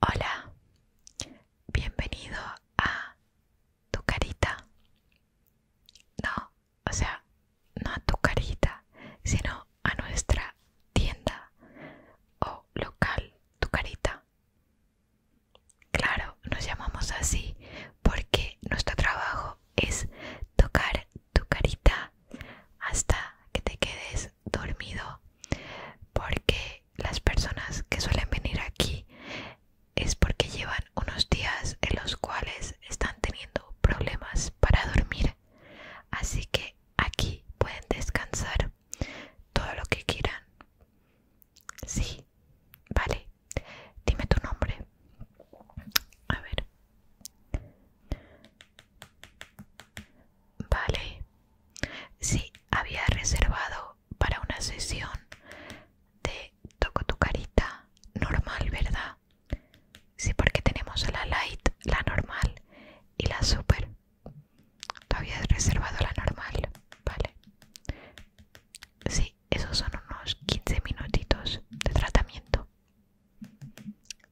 Hola, bienvenido a tu carita. No, o sea, no a tu carita, sino a nuestra tienda o local, tu carita. Claro, nos llamamos así porque nuestro trabajo es tocar tu carita hasta que te quedes dormido porque las personas que suelen venir aquí es porque llevan unos días en los cuales están teniendo problemas para dormir así que aquí pueden descansar todo lo que quieran sí vale dime tu nombre a ver Vale, Sí, había reservado para una sesión de toco tu carita normal, ¿verdad? Sí, porque tenemos la light, la normal y la super. Tú habías reservado la normal, ¿vale? Sí, esos son unos 15 minutitos de tratamiento.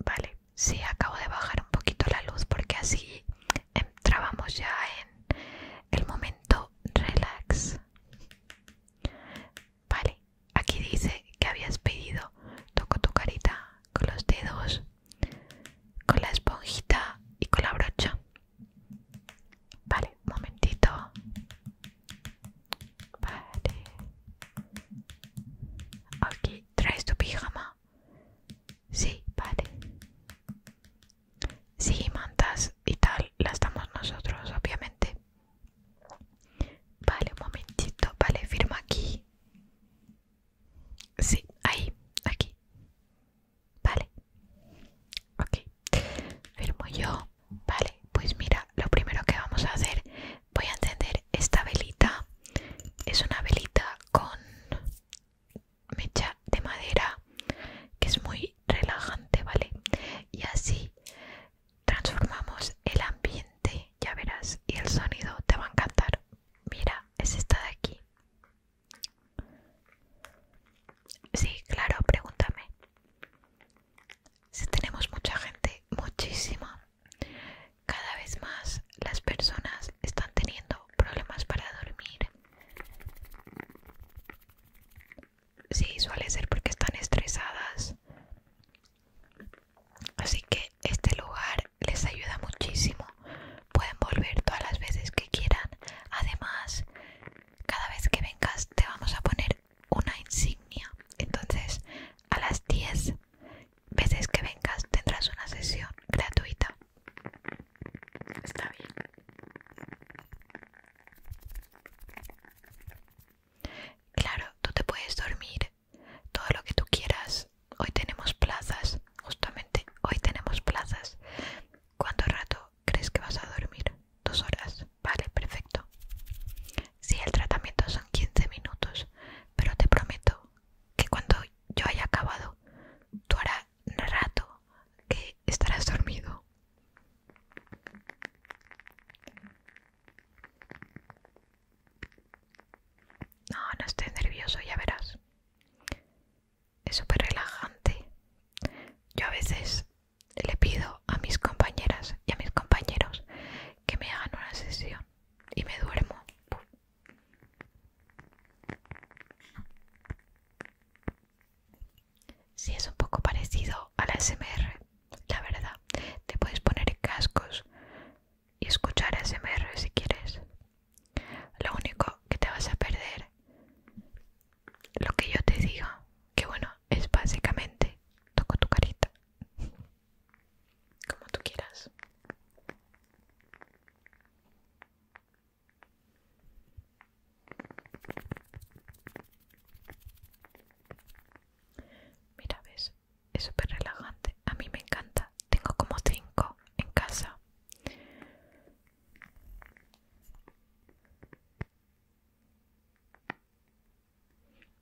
Vale, sí, acabo de bajar un poquito la luz porque así entrábamos ya en el momento relax. Vale, aquí dice que habías pedido. Toco tu carita con los dedos, con la esponjita y con la brocha. Vale, un momentito. Vale. Aquí traes tu pijama. Sí, vale. Sí, mantas y tal, las damos nosotros, obviamente. Vale, un momentito. Vale, firmo aquí. Sí, ahí, aquí. Vale. Ok. Firmo yo. Vale, pues mira, lo primero que vamos a hacer, voy a encender esta velita. Es una velita con mecha de madera que es muy relajante, ¿vale? Y así transformamos el ambiente, ya verás, y el sonido te va a encantar. Mira, es esta de aquí. Sí, claro, pregúntame. Si tenemos mucha gente, muchísima. Cada vez más las personas están teniendo problemas para dormir. Sí, suele ser porque están estresadas. Así que este lugar les ayuda muchísimo. Pueden volver todas las veces que quieran. Además, cada vez que vengas te vamos a poner una insignia. Entonces, a las 10 veces que vengas tendrás una sesión gratuita Está bien. Claro, tú te puedes dormir todo lo que tú quieras. Hoy tenemos plazas, justamente hoy tenemos plazas. ¿Cuánto rato crees que vas a dormir? Dos horas. Vale, perfecto. Si sí, el tratamiento son 15 minutos, pero te prometo que cuando yo haya acabado, tú harás rato que estarás dormido. No, no estés nervioso, ya verás. Es súper relajante. Yo a veces le pido a mis compañeras y a mis compañeros que me hagan una sesión y me duermo. Si es un poco parecido a la SMR, la verdad. Te puedes poner cascos y escuchar SMR si quieres. Lo único que te vas a perder, lo que yo te digo, que bueno, es básicamente toco tu carita. Como tú quieras. Mira, ves, es súper relajante. A mí me encanta. Tengo como cinco en casa.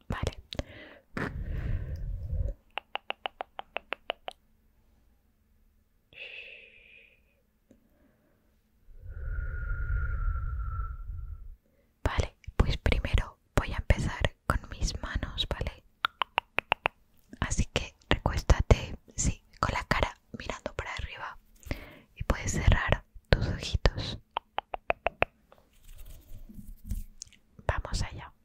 Vale. Vale, pues primero voy a empezar con mis manos, ¿vale? Así que recuéstate, sí, con la cara mirando para arriba y puedes cerrar tus ojitos. Vamos allá.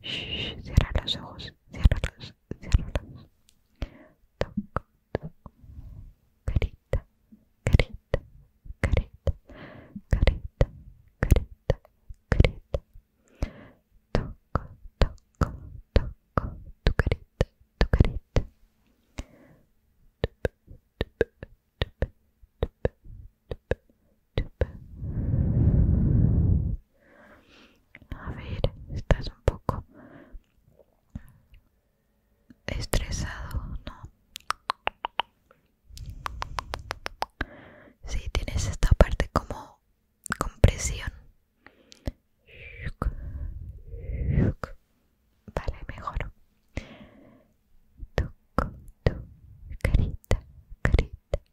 Shh, cierra los ojos, cierra ciérralos. Toc, toc. Carita, carita, carita, carita, carita, carita. Toco, toco, toco tu carita, tu carita. A ver, estás un poco estresado, ¿no? Sí, tienes esta parte como compresión. Vale, mejor. carita, carita,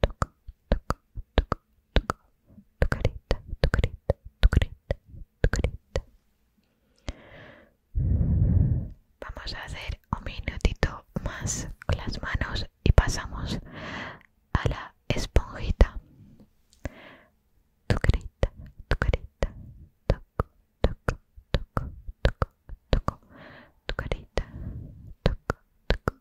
toco, toco, toco, toco, tu carita, tu carita, Vamos a hacer un minutito más con las manos y pasamos a la esponjita. Tu carita, tu carita, toco, toco, toco, toco, tu carita, toco, toco,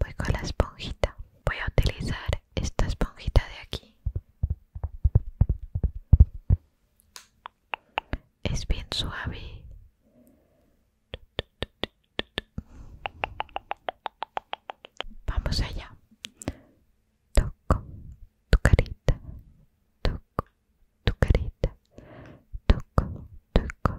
voy con la esponjita voy a utilizar esta esponjita de aquí es bien suave vamos allá toco tu carita toco tu carita toco toco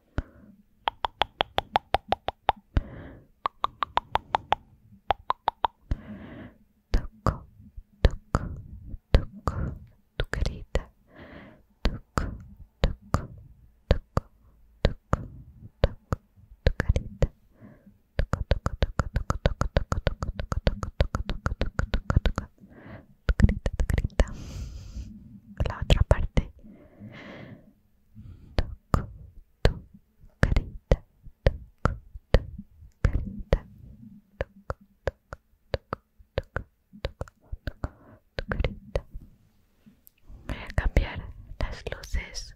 Toco, toco, La otra parte toco tu carita, Voy a cambiar las luces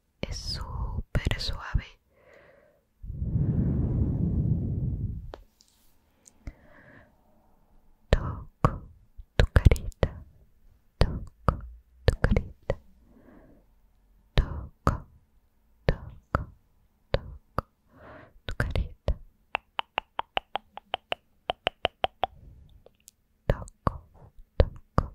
es super suave toco tu carita toco tu carita toco toco toco tu toco toco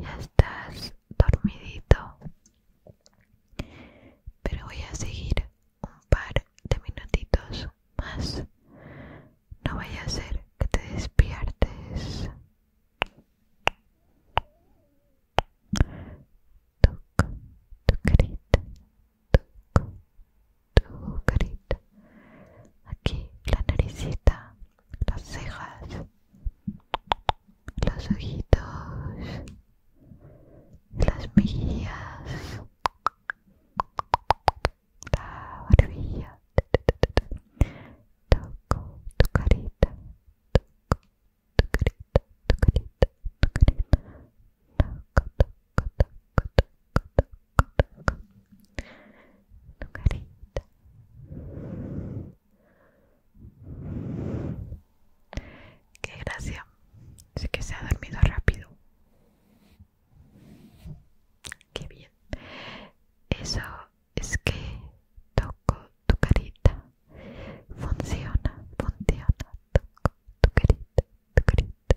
Ya estás dormidito. Pero voy a seguir un par de minutitos más. No vaya a ser que te despiertes tu carita, aquí la naricita, las cejas, los ojitos, las mejillas, la barbilla, toco tu carita, toco tu carita, tu tu carita, toco, toco, toco, toco, tu carita qué gracia así que se ha dormido rápido qué bien eso es que toco tu carita funciona funciona toco tu carita tu carita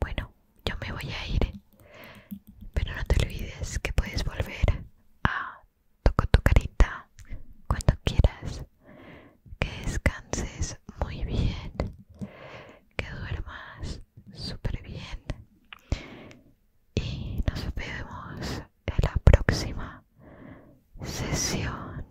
Bueno, yo me voy a ir, pero no te olvides que puedes volver a tocar tu carita cuando quieras. Que descanses muy bien, que duermas súper bien y nos vemos en la próxima sesión.